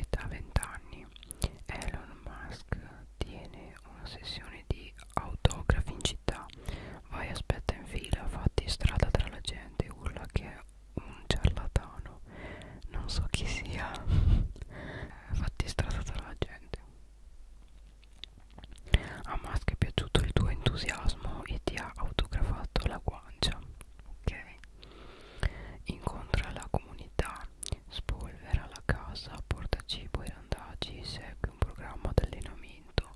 e da vent'anni Elon Musk tiene una sessione di autografi in città vai aspetta in fila fatti strada tra la gente urla che è un ciarlatano non so chi sia fatti strada tra la gente a Musk è piaciuto il tuo entusiasmo e ti ha autografato la guancia ok Incontra la comunità, spolvera la casa, porta cibo ai randaggi, segue un programma d'allenamento.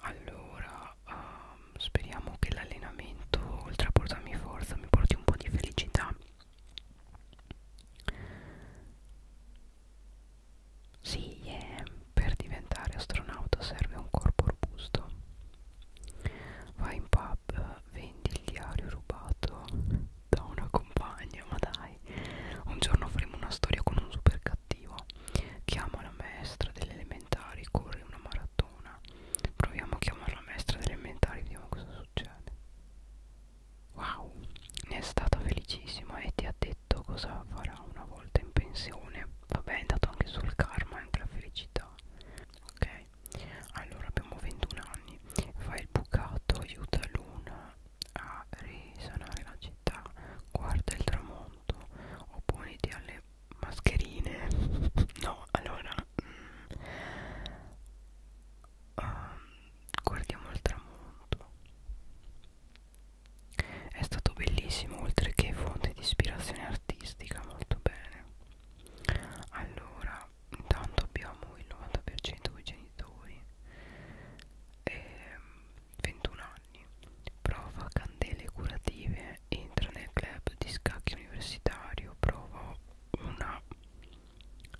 Allora, um, speriamo che l'allenamento, oltre a portarmi forza, mi porti un po' di felicità. Sì, yeah. per diventare astronauta serve un corpo robusto vai in pub vendi il diario rubato da una compagna ma dai un giorno faremo una storia con un super cattivo chiama la maestra delle elementari corre una maratona proviamo a chiamare la maestra delle elementari vediamo cosa succede wow ne è stata felicissima e ti ha detto cosa farà una volta in pensione vabbè è andato anche sul karma e anche la felicità ok allora abbiamo 21 anni fai il bucato aiuta l'una a risanare la città guarda il tramonto opponiti alle mascherine no allora mm, uh, guardiamo il tramonto è stato bellissimo oltre che fonte di ispirazione artistica molto bene allora intanto abbiamo il 90% dei genitori e ehm, 21 anni prova candele curative entra nel club di scacchi universitario prova una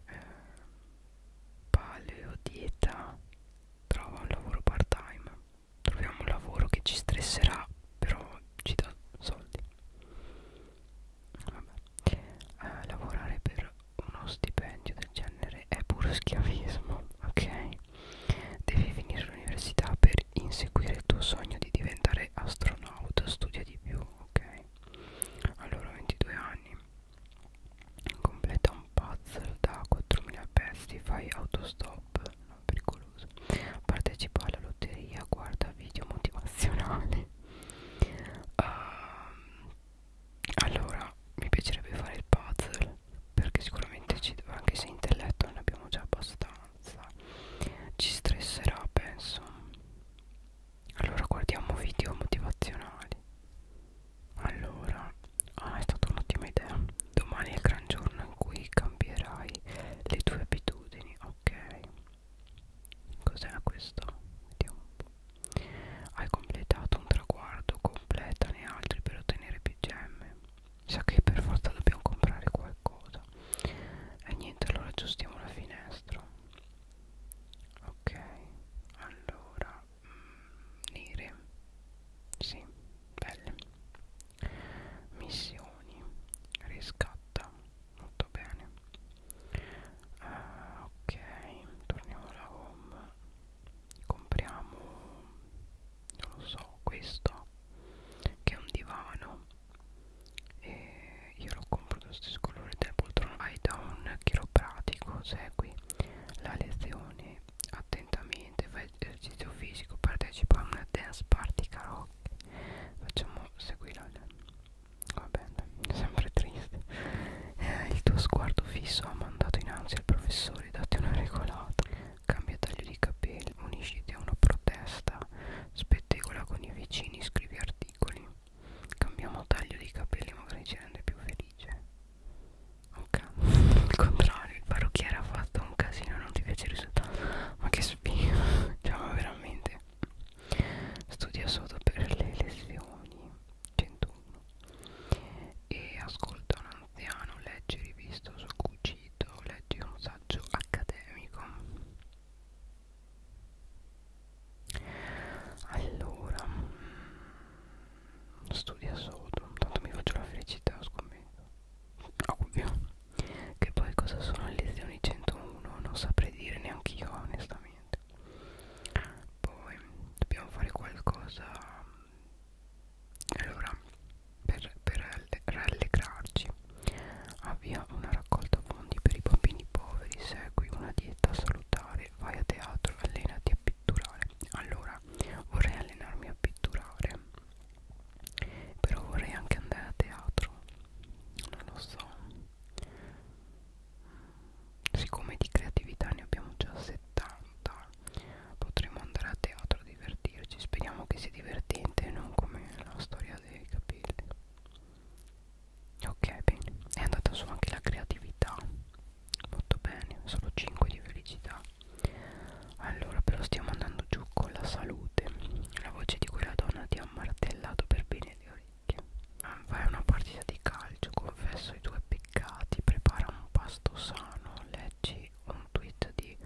eh, paleodieta trova un lavoro part time troviamo un lavoro che ci stresserà però ci dà soldi vabbè. Eh, lavorare per uno stipendio del genere è puro schiavismo, ok? Devi finire l'università per inseguire il tuo sogno di diventare astronauta, studia di più, ok? Allora, 22 anni, completa un puzzle da 4.000 pezzi, fai autostop, non pericoloso, partecipa alla lotteria, guarda video motivazionali, uh, allora mi piacerebbe fare il puzzle perché sicuramente ci, anche se intelletto non ne abbiamo già abbastanza ci stresserà penso allora guardiamo video motivazionali allora ah, è stata un'ottima idea domani è il gran giorno in cui cambierai le tue abitudini ok Cos'è questo? Vediamo un po'. Hai completato un traguardo, completane altri per ottenere più gemme. Sa che per forza dobbiamo comprare qualcosa. E niente, allora aggiustiamo la finestra. Ok, allora mh, mm, nere. Sì, belle. Missioni. Riscatta molto bene uh, ok torniamo alla home compriamo non lo so questo che è un divano e io lo compro dello stesso colore della poltrona vai da un chiropratico segui la lezione attentamente fai esercizio fisico partecipa a una dance party karaoke facciamo seguire la Va bene, sempre triste. Eh, il tuo sguardo fisso ha mandato innanzi al professore, datti una regolata. Cambia taglio di capelli, unisciti a una protesta, spettegola con i vicini, scrivi articoli. Cambiamo taglio di capelli, magari ci rende più felice. Ok, il contrario, il parrucchiere ha fatto un casino, non ti piace il risultato. Ma che spino, cioè ma veramente perché studia solo per le lezioni 101 e ascolta un anziano, legge rivisto sul cucito, legge un saggio accademico allora mm, studia solo, tanto mi faccio la felicità scommetto ovvio che poi cosa sono le lezioni 101 non saprei dire neanche io onestamente niente poi dobbiamo fare qualcosa allora per, per rallegrarci avvia ah, una raccolta fondi per i bambini poveri segui una dieta salutare vai a teatro allenati a pitturare allora vorrei allenarmi a pitturare però vorrei anche andare a teatro non lo so siccome di creatività ne abbiamo già 70 potremmo andare a teatro a divertirci speriamo che sia divertente e non come la storia dei capelli ok bene è andata su anche la creatività molto bene solo 5 di felicità allora però stiamo andando giù con la salute la voce di quella donna ti ha martellato per bene le orecchie orecchie. Fai una partita di calcio, confesso i tuoi peccati, prepara un pasto sano, leggi un tweet di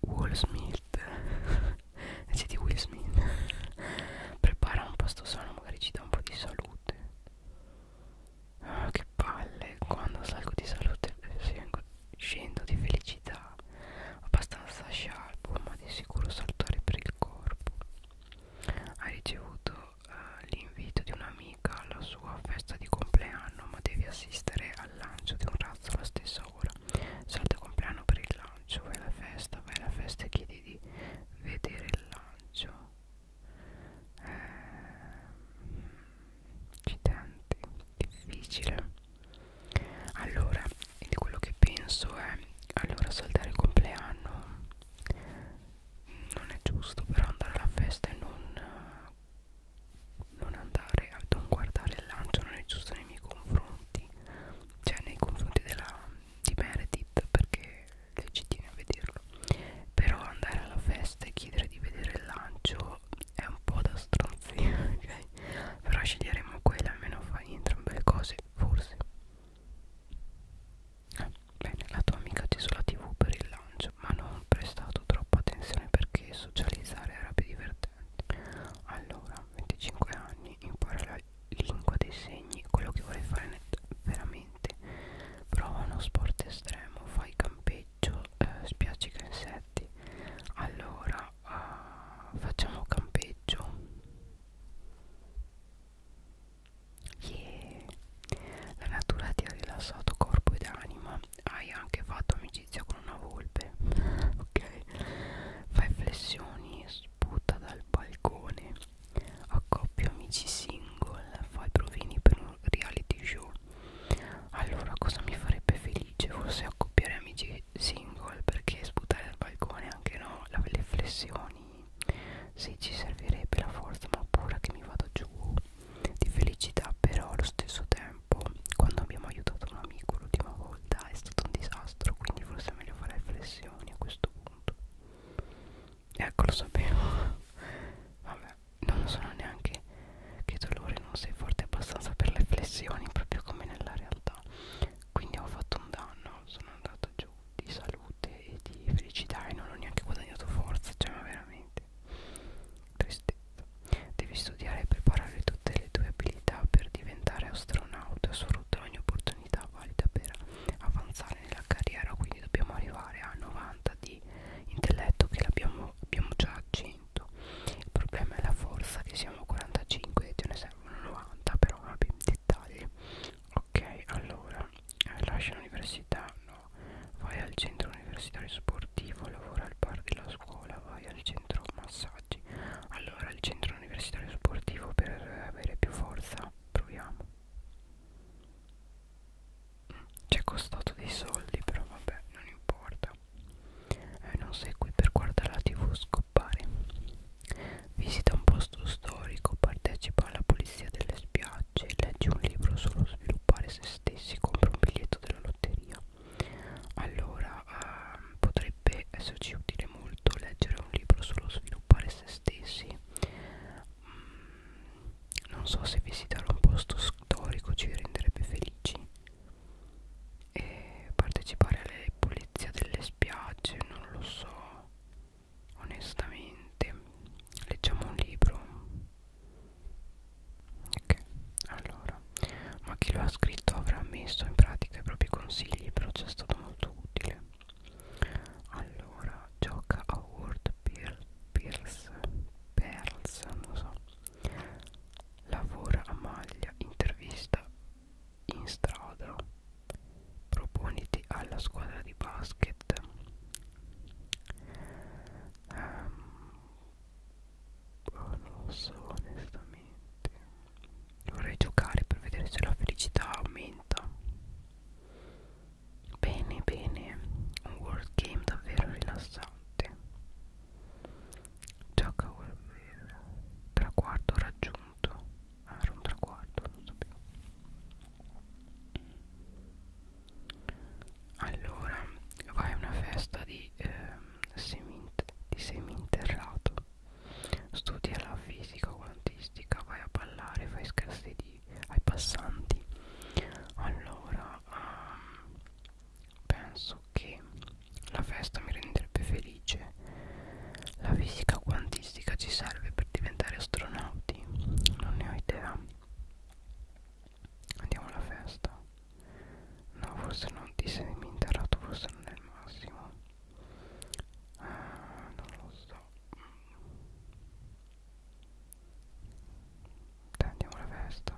Will Smith. leggi di Will Smith. prepara un pasto sano, magari ci dà un po' di salute. Ah, che palle, quando salgo di salute eh, scendo di felicità. Abbastanza scialbo, ma di sicuro saltare per il corpo. Hai ricevuto eh, l'invito di un'amica alla sua festa di compleanno, ma devi assistere al lancio di un razzo alla stessa ora. Salta il compleanno per il lancio, vai alla festa, vai alla festa e chiedi di vedere il lancio. Accidenti, ehm, eh, difficile. Allora, di quello che penso è allora saltare il compleanno non è giusto però andare alla festa e non, non andare a non guardare il lancio non è giusto nei miei confronti cioè nei confronti della, di Meredith perché lei ci tiene a vederlo però andare alla festa e chiedere di vedere il lancio è un po' da stronzia okay? però sceglieremo quella almeno fai entrambe le cose forse Bene, la tua amica ti sulla tv per il lancio, ma non prestato troppa attenzione perché socializzare sarebbe divertente. Allora, 25 anni, impara la lingua dei segni, quello che vuoi fare veramente. Prova uno sport estremo, fai campeggio, eh, spiaccica insetti. Allora, eh, facciamo campeggio. Yeah. La natura ti ha rilassato corpo ed anima. Hai anche fatto amicizia con una volpe. ok. Fai flessioni, sputa dal balcone. Accoppio amici single. Fai provini per un reality show. Allora, cosa mi farebbe felice? Forse accoppiare amici single perché sputare dal balcone anche no. Le flessioni sì ci servirebbe la forza ma pure che mi vado giù di felicità però allo stesso tempo quando abbiamo aiutato un amico l'ultima volta è stato un disastro quindi forse è meglio fare flessioni a questo punto ecco lo sapevo vabbè non lo sono neanche che dolore non sei forte abbastanza per le flessioni proprio come nella realtà quindi ho fatto un danno sono andato giù di salute e di felicità e non ho neanche guadagnato forza, cioè ma veramente tristezza. Devi studiare e preparare tutte le tue abilità per diventare astronauta, sfrutta ogni opportunità valida per avanzare nella carriera, quindi dobbiamo arrivare a 90 di intelletto che l'abbiamo abbiamo già a 100. Il problema è la forza che siamo 45 e ce ne servono 90, però vabbè, ti dettagli ok allora eh, lascia l'università no vai al centro universitario sportivo lavora al bar della scuola vai al centro massaggi allora al centro universitario sportivo per avere più forza proviamo mm, ci è costato dei soldi però vabbè non importa eh, non sei qui per guardare la tv scoppare visita un posto storico, partecipa alla polizia delle spiagge, legge un libro solo sviluppare se stessi, compra un biglietto della lotteria. Allora eh, potrebbe esserci utile molto leggere un libro solo sviluppare se stessi. Mm, non so se visitare un posto storico ci renderebbe felici. E partecipare alla polizia delle spiagge, non lo so onestamente leggiamo un libro ok allora ma chi lo ha scritto avrà messo in pratica i propri consigli però ci è stato molto utile allora gioca a World Pierce Perls non so lavora a maglia intervista in strada proponiti alla squadra di basket um, non lo so onestamente vorrei giocare per vedere se la felicità aumenta bene bene un world game davvero rilassante gioca Warhammer traguardo raggiunto ah, era un traguardo non sapevo allora, vai a una festa di, eh, seminter di seminterrato, studia la fisica quantistica, vai a ballare, fai scherzi di, ai passanti. Allora, um, penso che la festa mi renderebbe felice. La fisica quantistica logistica ci serve per diventare astronauti? Non ne ho idea. Andiamo alla festa. No, forse non ti sei interato, forse non è il massimo. Ah, non lo so. Dai, andiamo alla festa.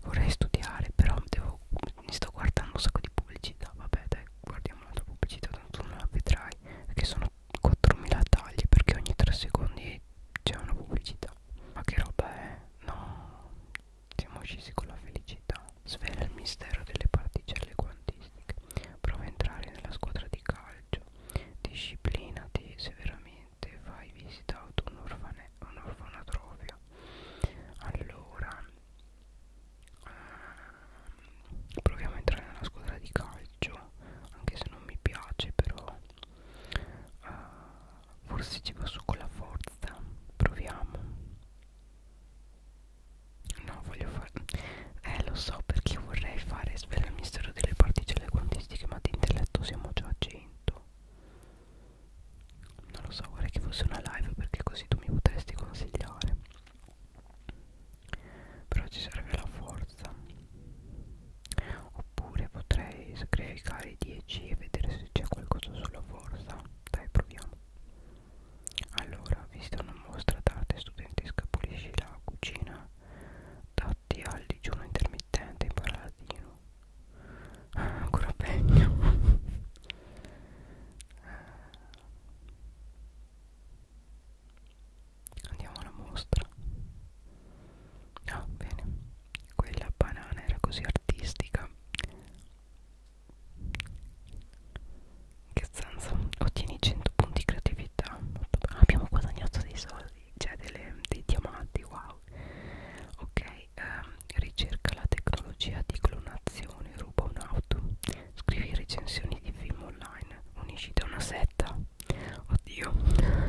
Vorrei studiare, però devo, mi sto guardando un sacco di pubblicità. Vabbè, dai, guardiamo un'altra pubblicità, tanto non la vedrai. Perché sono 4.000 tagli perché ogni 3 secondi c'è una pubblicità ma che roba è? no siamo scesi con la felicità svela il mistero delle particelle quantistiche prova a entrare nella squadra di calcio disciplinati severamente fai visita ad un, orfane, un orfanatrofio allora ehm, proviamo a entrare nella squadra di calcio farlo anche se non mi piace però uh, forse ci passo con la forza proviamo no voglio fare eh lo so perché io vorrei fare svela il mistero delle particelle quantistiche ma di intelletto siamo già a 100 non lo so vorrei che fosse una live perché così tu mi potresti consigliare però ci serve la forza oppure potrei scaricare i 10 e vedere se c'è qualcosa sulla forza dai proviamo allora vista una mostra d'arte studenti scapulisci la cucina dati al digiuno intermittente in paradino ah, ancora peggio Andiamo alla mostra. Ah, bene. Quella banana era così artistica. Che senso? Ottieni 100 punti creatività. Abbiamo guadagnato dei soldi, cioè delle, dei diamanti, wow. Ok, ehm, ricerca la tecnologia di clonazione, ruba un'auto, scrivi recensioni di film online, unisciti a una setta oddio mm,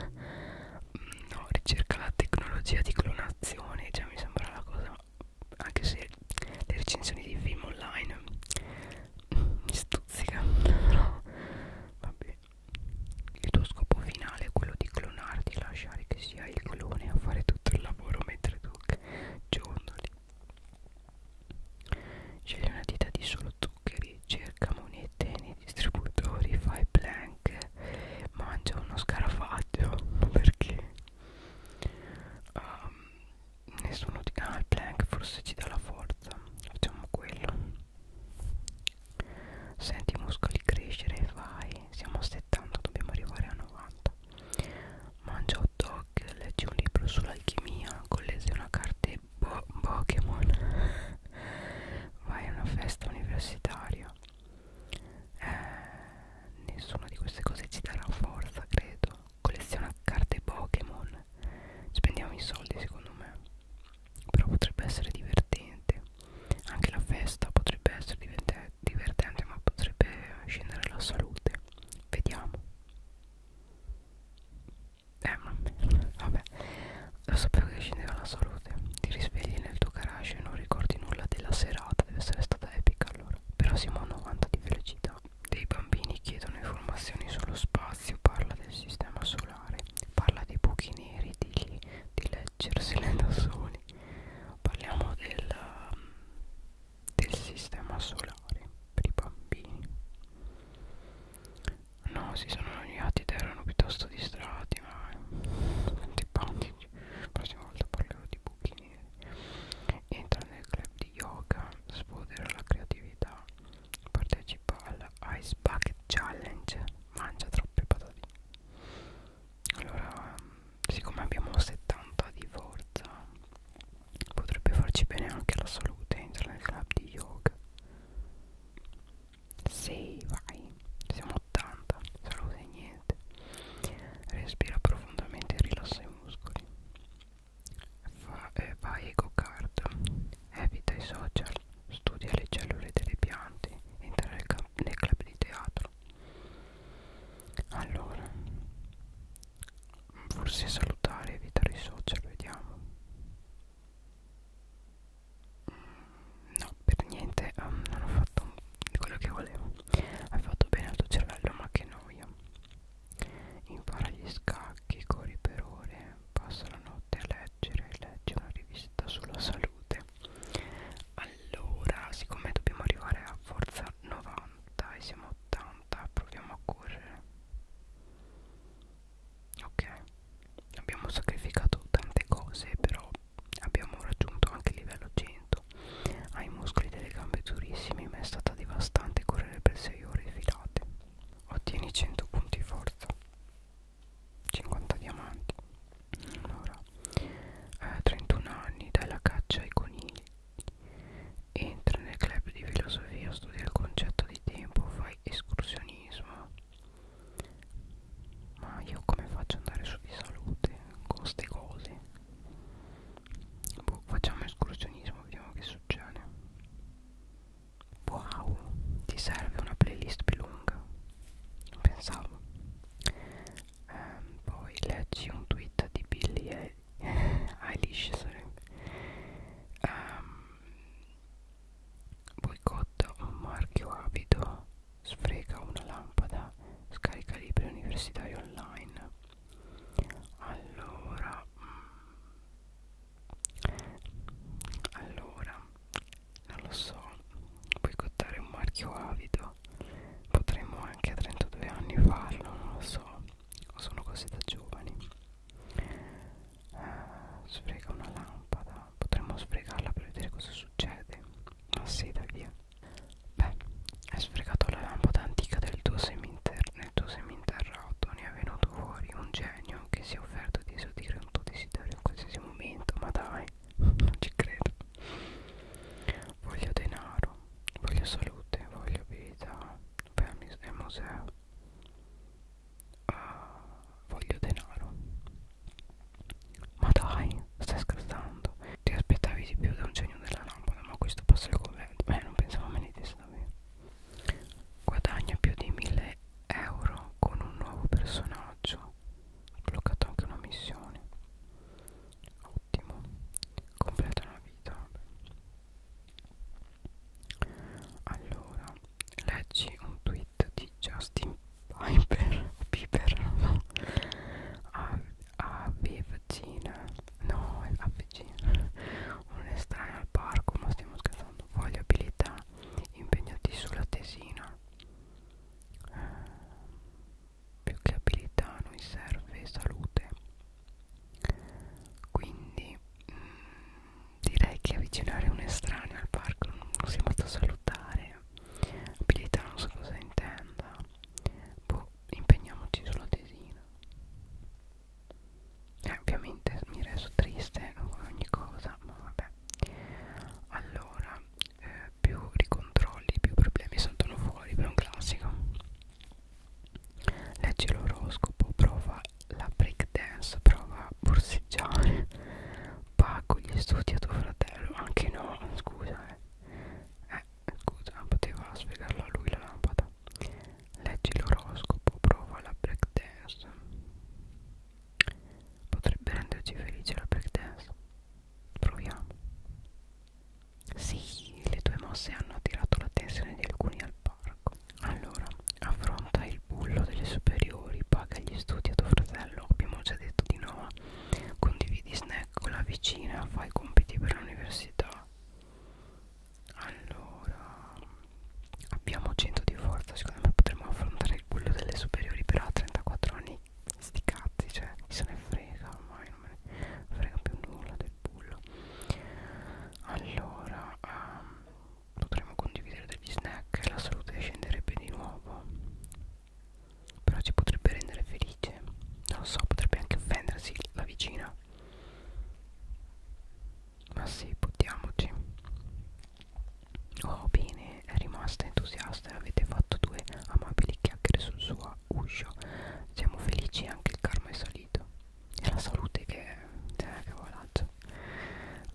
no ricerca la tecnologia di clonazione cioè mi sembra la cosa anche se le recensioni di film online mm, mi stuzzicano no. vabbè il tuo scopo finale è quello di clonarti lasciare che sia il clone a fare tutto il lavoro mentre tu giondoli scegli una dieta di solo zuccheri cerca monete nei distributori fai plank mangia uno scarafaggio perché um, nessuno di ah il plank forse ci dà la forza facciamo quello senti i muscoli crescere vai siamo a 70 dobbiamo arrivare a 90 mangia hot dog leggi un libro sull'alchimia collezzi una carta e po Pokémon vai a una festa universitaria eh, nessuna di queste cose ci darà forza credo colleziona carte Pokémon spendiamo i soldi secondo me però potrebbe essere divertente anche la festa potrebbe essere divertente ma potrebbe scendere la salute vediamo eh ma vabbè lo sapevo che scendeva la salute ti risvegli nel tuo garage e non ricordi nulla della serata deve essere stata epica allora però siamo a 90 di velocità dei bambini chiedono informazioni sullo spazio parla del sistema solare parla dei buchi neri di, di leggersele da soli parliamo del, del sistema solare per i bambini No, si sono annoiati ed erano piuttosto distratti, ma antipatici. La prossima volta parlerò di buchi neri. Entra nel club di yoga, sfodera la creatività, partecipa alla Ice Bucket Challenge, mangia troppe patatine. Allora, siccome abbiamo 70 di forza, potrebbe farci bene anche la salute, entra nel club di yoga. 6 vai siamo 80 salute niente respira profondamente e rilassa i muscoli Fa, eh, vai eco card evita i social studia le cellule delle piante entra nel, nel club di teatro allora forse salutare evitare i social vediamo No, per niente, um, non ho fatto quello che volevo. Hai fatto bene al tuo cervello, ma che noia. Impara gli scacchi, corri per ore, passa la notte a leggere, leggi una rivista sulla salute. Allora, siccome dobbiamo arrivare a forza 90 e siamo 80, proviamo a correre ok abbiamo sacrificato tante cose però abbiamo raggiunto anche il livello 100 ai ah, muscoli delle gambe durissimi ma è stata devastante correre per 6 ore filate ottieni 100 punti forza 50 diamanti allora eh, 31 anni dai la caccia ai conigli entra nel club di filosofia studia il concetto di tempo fai escursionismo ma io come faccio ad andare su di salute con queste cose boh, facciamo escursionismo vediamo che succede wow ti serve una playlist più lunga pensavo ehm, poi leggi un tweet di Billy Eilish sarebbe ehm, boicotta un marchio abito sfrega una lampada scarica libri universitari online allora mm, allora non lo so boicottare un marchio avido potremmo anche a 32 anni farlo non lo so o sono cose da giovani eh, sfrega una lampada potremmo sfregarla per vedere cosa succede ma sì dai via beh hai sfregato la lampada antica del tuo nel tuo seminterrato ne è venuto fuori un genio che si è offerto di esaudire un tuo desiderio in qualsiasi momento ma dai non ci credo voglio denaro voglio salute voglio vita per il museo ah, voglio denaro ma dai stai scherzando ti aspettavi di più da un genio della lampada ma questo passa il governo beh non pensavo me ne dicesse guadagna più di 1000 euro con un nuovo personaggio ho bloccato anche una missione ottimo completa una vita allora leggi un tweet hit di Justin Piper, Piper no? a, a vicina no, a vicina un'estranea al parco, ma stiamo scherzando voglio abilità impegnati sulla tesina eh, più che abilità a noi serve salute quindi mh, mm, direi che avvicinare un estraneo al parco non si può salutare abilità non so cosa intenda boh, impegniamoci sulla tesina eh, ovviamente mi reso triste con ogni cosa ma vabbè allora eh, più ricontrolli più problemi saltano fuori per un classico leggi l'oroscopo prova la breakdance prova a borseggiare Pago gli studi a tuo fratello Anche no, scusa eh Eh, scusa, poteva sfregarla lui la lampada Leggi l'oroscopo, prova la breakdance Potrebbe renderci felice la breakdance Proviamo Sì, le tue mosse hanno attirato l'attenzione di alcuni al parco Allora, affronta il il bullo delle superiori, paga gli studi a tuo fratello, abbiamo già detto di no, condividi snack con la vicina, fai compiti per l'università. Allora, abbiamo 100 di forza, secondo me potremmo affrontare il bullo delle superiori, però a 34 anni sti cazzi, cioè chi se ne frega ormai, non me ne frega più nulla del bullo. Allora, um, potremmo condividere degli snack e la salute scenderebbe di nuovo però ci potrebbe rendere felice non lo so potrebbe anche offendersi la vicina ma sì buttiamoci oh bene è rimasta entusiasta e avete fatto due amabili chiacchiere sul suo uscio siamo felici anche il karma è salito e la salute che è eh, che volazzo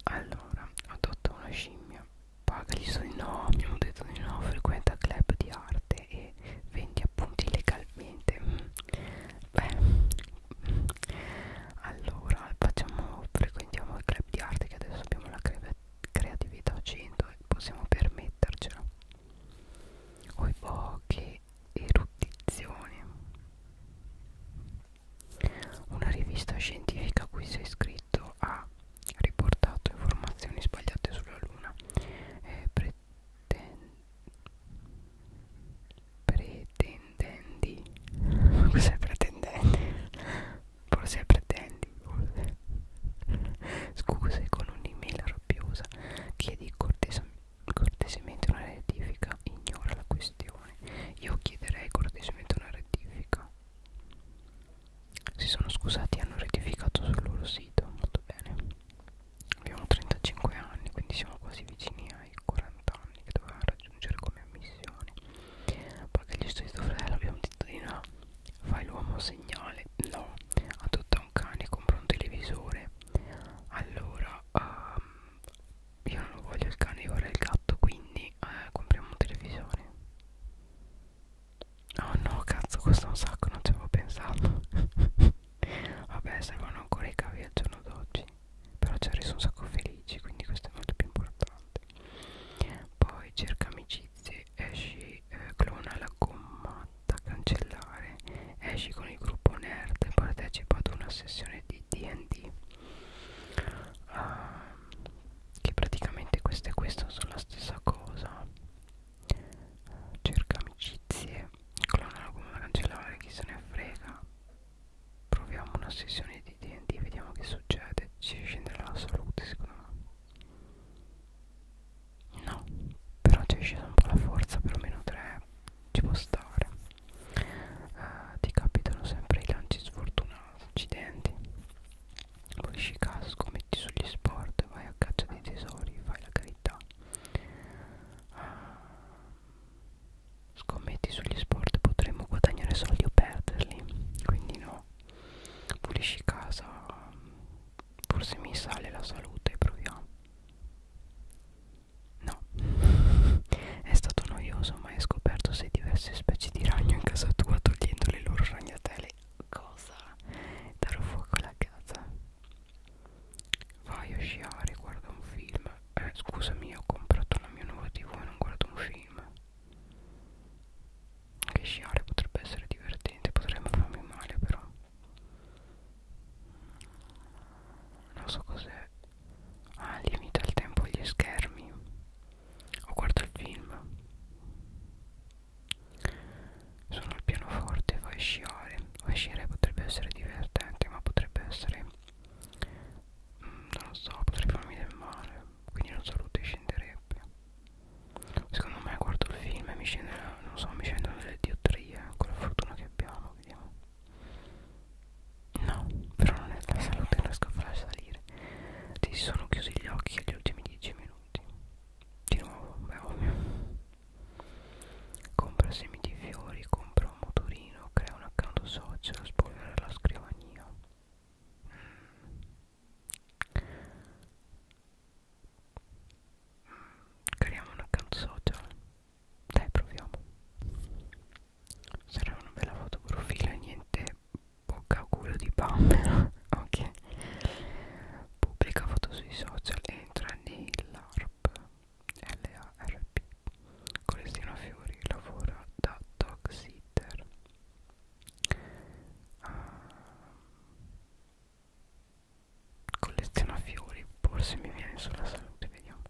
allora ho adotto una scimmia paga gli studi no mi hanno detto di no frequenta club di arte e vendi appunti legalmente beh allora facciamo frequentiamo il club di arte che adesso abbiamo la cre creatività 100 e possiamo permettercela ho i poche erudizioni una rivista scientifica a cui sei iscritto sito ha riportato informazioni sbagliate sulla Luna eh, preten pretendenti cos'è pretendenti? forse pretendi forse. scuse con un'email rabbiosa chiedi cortesa cortesemente una rettifica ignora la questione io chiederei cortesemente una rettifica si sono scusati e hanno rettificato sul loro sito molto bene abbiamo 35 anni quindi siamo quasi vicini ai 40 anni che dovevamo raggiungere come ammissioni poi che gli studi fratello abbiamo detto di no fai l'uomo segnale no adotta un cane compra un televisore allora um, io non voglio il cane io vorrei il gatto quindi eh, compriamo un televisore Oh no, cazzo, costa un sacco, non ci avevo pensato. Vabbè, servono ancora i cavi al giorno d'oggi. Però ci ho reso un sacco felici, quindi questo è molto più importante. Poi cerca amicizie, esci, eh, clona la gommata, cancellare. Esci con il gruppo nerd e partecipa ad una sessione di DD. Uh, che praticamente questo e questo sono la stessa cosa cerca amicizie clonala come da cancellare chi se ne frega proviamo una sessione di D&D vediamo che succede ci scenderà la salute secondo me no però ci è scesa un po' la forza per meno 3 ci può stare uh, ti capitano sempre i lanci sfortunati accidenti pulisci casco, metti sugli sport, vai a caccia dei tesori, fai la carità ah, scommetti sugli sport potremmo guadagnare soldi o perderli quindi no pulisci casa forse mi sale la salute proviamo no è stato noioso ma hai scoperto sei diverse specie di ragno in casa tua togliendo le loro ragnatele cosa darò fuoco alla casa vai a sciare guarda un film eh, scusami ho comprato la mia nuova tv e non guardo un film che sciare potrebbe essere divertente potrebbe farmi male però non so cos'è ah limita il tempo agli schermi ho guardato il film sono al pianoforte, vai a sciare. Vai a sciare potrebbe essere divertente, ma potrebbe essere... Mm, non lo so, potrebbe farmi del male. Quindi non so, lui scenderebbe. Secondo me guardo il film e mi scendono, non so, mi scendono delle diotrie, con la fortuna che abbiamo, vediamo. No, però non è la salute, non riesco a farla salire. Ti sono chiusi gli occhi agli ultimi 10 minuti minuti di nuovo beh ovvio compra semi di fiori compra un motorino crea un account social spolvera la scrivania mm. creiamo un account social dai proviamo sarà una bella foto profilo niente bocca culo di bambera ok pubblica foto sui social entra nell'ARP LARP Colestina Fiori lavora da dog sitter uh, ah, colleziona fiori forse mi viene sulla salute vediamo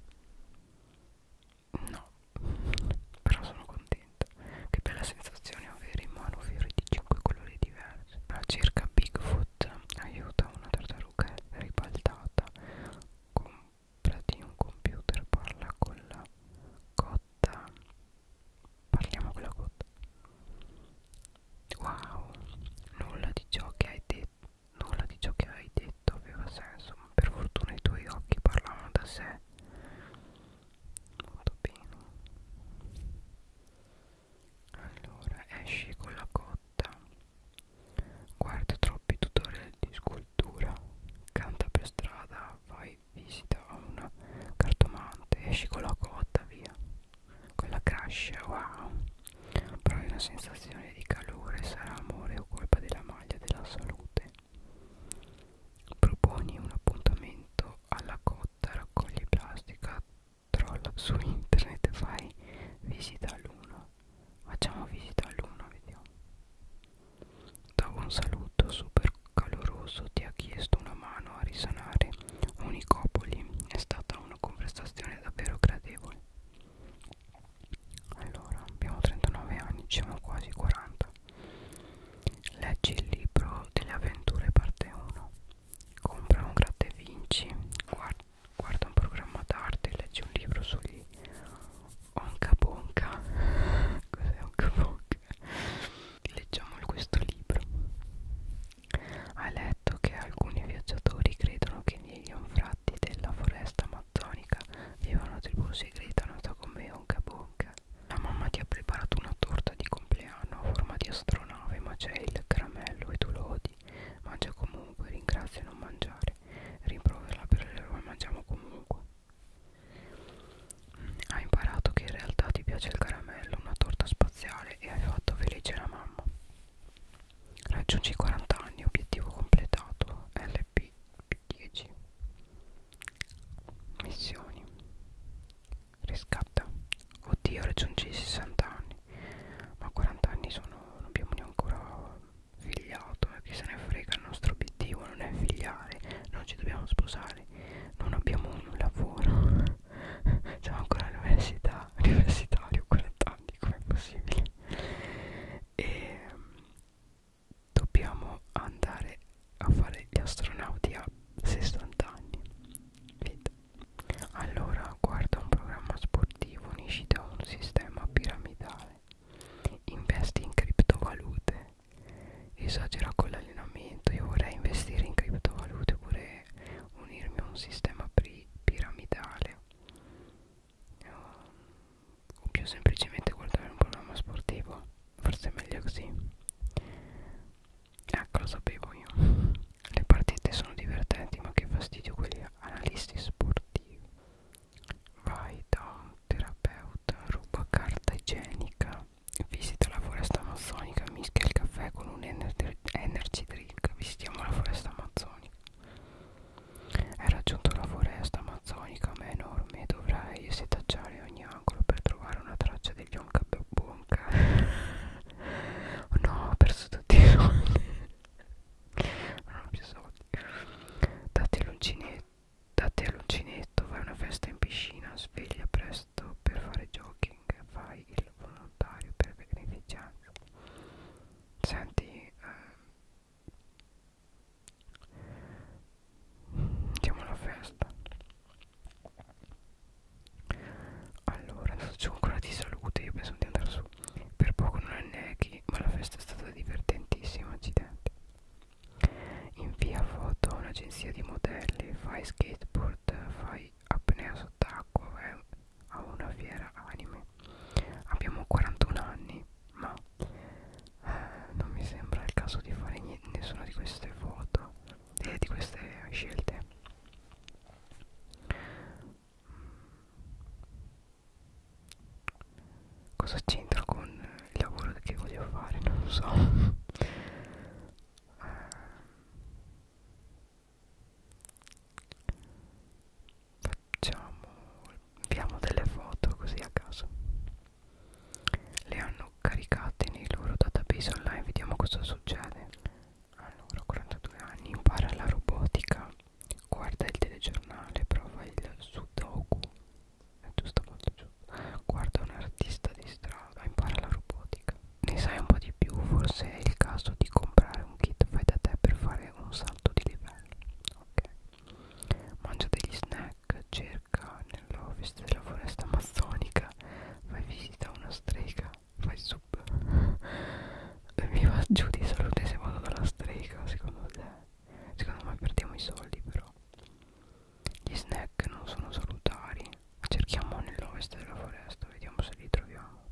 no però sono contenta che bella sensazione avere in mano fiori di 5 colori diversi. La circa Bigfoot aiuta una tartaruga ribaltata. Comprati un computer, parla con la cotta. Parliamo con la cotta. Wow, nulla di ciò che hai detto. Nulla di ciò che hai detto aveva senso, ma per fortuna i tuoi occhi parlavano da sé molto bene allora esci con la cotta guarda troppi tutorial di scultura canta per strada vai visita a una cartomante esci con la cotta via con la cascia wow provi una sensazione di calore sarà amore o colpa della maglia della salute proponi un appuntamento alla cotta botta raccogli plastica trolla su internet e fai visita all'uno facciamo visita all'uno vediamo dopo un saluto super caloroso ti ha chiesto una mano a risanare Unicopoli è stata una conversazione davvero gradevole allora abbiamo 39 anni siamo quasi 40 leggi il libro delle avventure parte 1 compra un gratta e vinci guarda, guarda un programma d'arte leggi un libro sugli onca bonca cos'è onca bonca? leggiamo questo libro hai letto che alcuni viaggiatori credono che negli anfratti della foresta amazzonica vivano tribù segreta nota come onca bonca la mamma ti ha preparato una torta di compleanno a forma di astronave, ma c'è il caramello e tu lo odi. Mangia comunque, ringrazia non mangiare. Rimproverla per l'eroe, mangiamo comunque. Mm, hai imparato che in realtà ti piace il caramello, una torta spaziale e hai fatto felice la mamma. Raggiungi i 40 anni, obiettivo completato, LP10. Missioni. Riscatta. Oddio, raggiungi i 60 anni. Ma 40 anni sono. non abbiamo neanche ancora figliato. E eh, chi se ne frega, il nostro obiettivo non è figliare, non ci dobbiamo sposare, non abbiamo un lavoro. Siamo ancora all'università, universitario, 40 anni, com'è possibile? E ehm, dobbiamo andare a fare gli astronauti a 60 anni Vita. allora guarda un programma sportivo unisci da un sistema piramidale investi in criptovalute esagera con l'allenamento io vorrei investire in criptovalute oppure unirmi a un sistema piramidale o più semplicemente guardare un programma sportivo forse è meglio così Ecco, lo sapevo io. Le partite sono divertenti, ma che fastidio quelli analisti sportivi. Vai da un terapeuta, ruba carta igienica, visita la foresta amazzonica, mischia il caffè con un ener energy drink. Visitiamo la foresta amazzonica. Hai raggiunto la foresta amazzonica, ma è enorme, dovrai setacciare ogni angolo per trovare una traccia degli Onka Bonka oh no ho perso tutti i soldi non ho più soldi dati all'uncinetto dati all'uncinetto vai a una festa in piscina sveglia presto per fare jogging fai il volontario per beneficenza senti eh, andiamo alla festa allora, faccio ancora di salute, io penso di andare su. Per poco non anneghi, ma la festa è stata divertentissima, accidenti. Invia foto a un'agenzia di modelli, fai skateboard, fai apnea sott'acqua, vai a una fiera anime. Abbiamo 41 anni, ma eh, non mi sembra il caso di fare niente, nessuna di queste foto, eh, di queste scelte. Cosa c'entra con il lavoro che voglio fare? Non lo so. Facciamo, inviamo delle foto così a caso. Le hanno caricate nei loro database online, vediamo cosa succede. Allora, 42 anni, impara la robotica, guarda il telegiornale, prova il sudoku, è giusto, molto giusto, guarda un artista di strada, impara la robotica. Ne sai un po' di più, forse è il caso di comprare un kit fai da te per fare un salto di livello. Ok. Mangia degli snack, cerca nell'office della foresta amazzonica, vai visita una strega fai sub e mi va giù di salute se vado dalla strega secondo te secondo me perdiamo i soldi però gli snack non sono salutari cerchiamo nell'ovest della foresta vediamo se li troviamo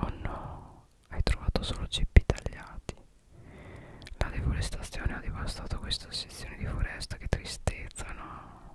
oh no hai trovato solo ceppi tagliati la deforestazione ha devastato questa sezione di foresta che tristezza no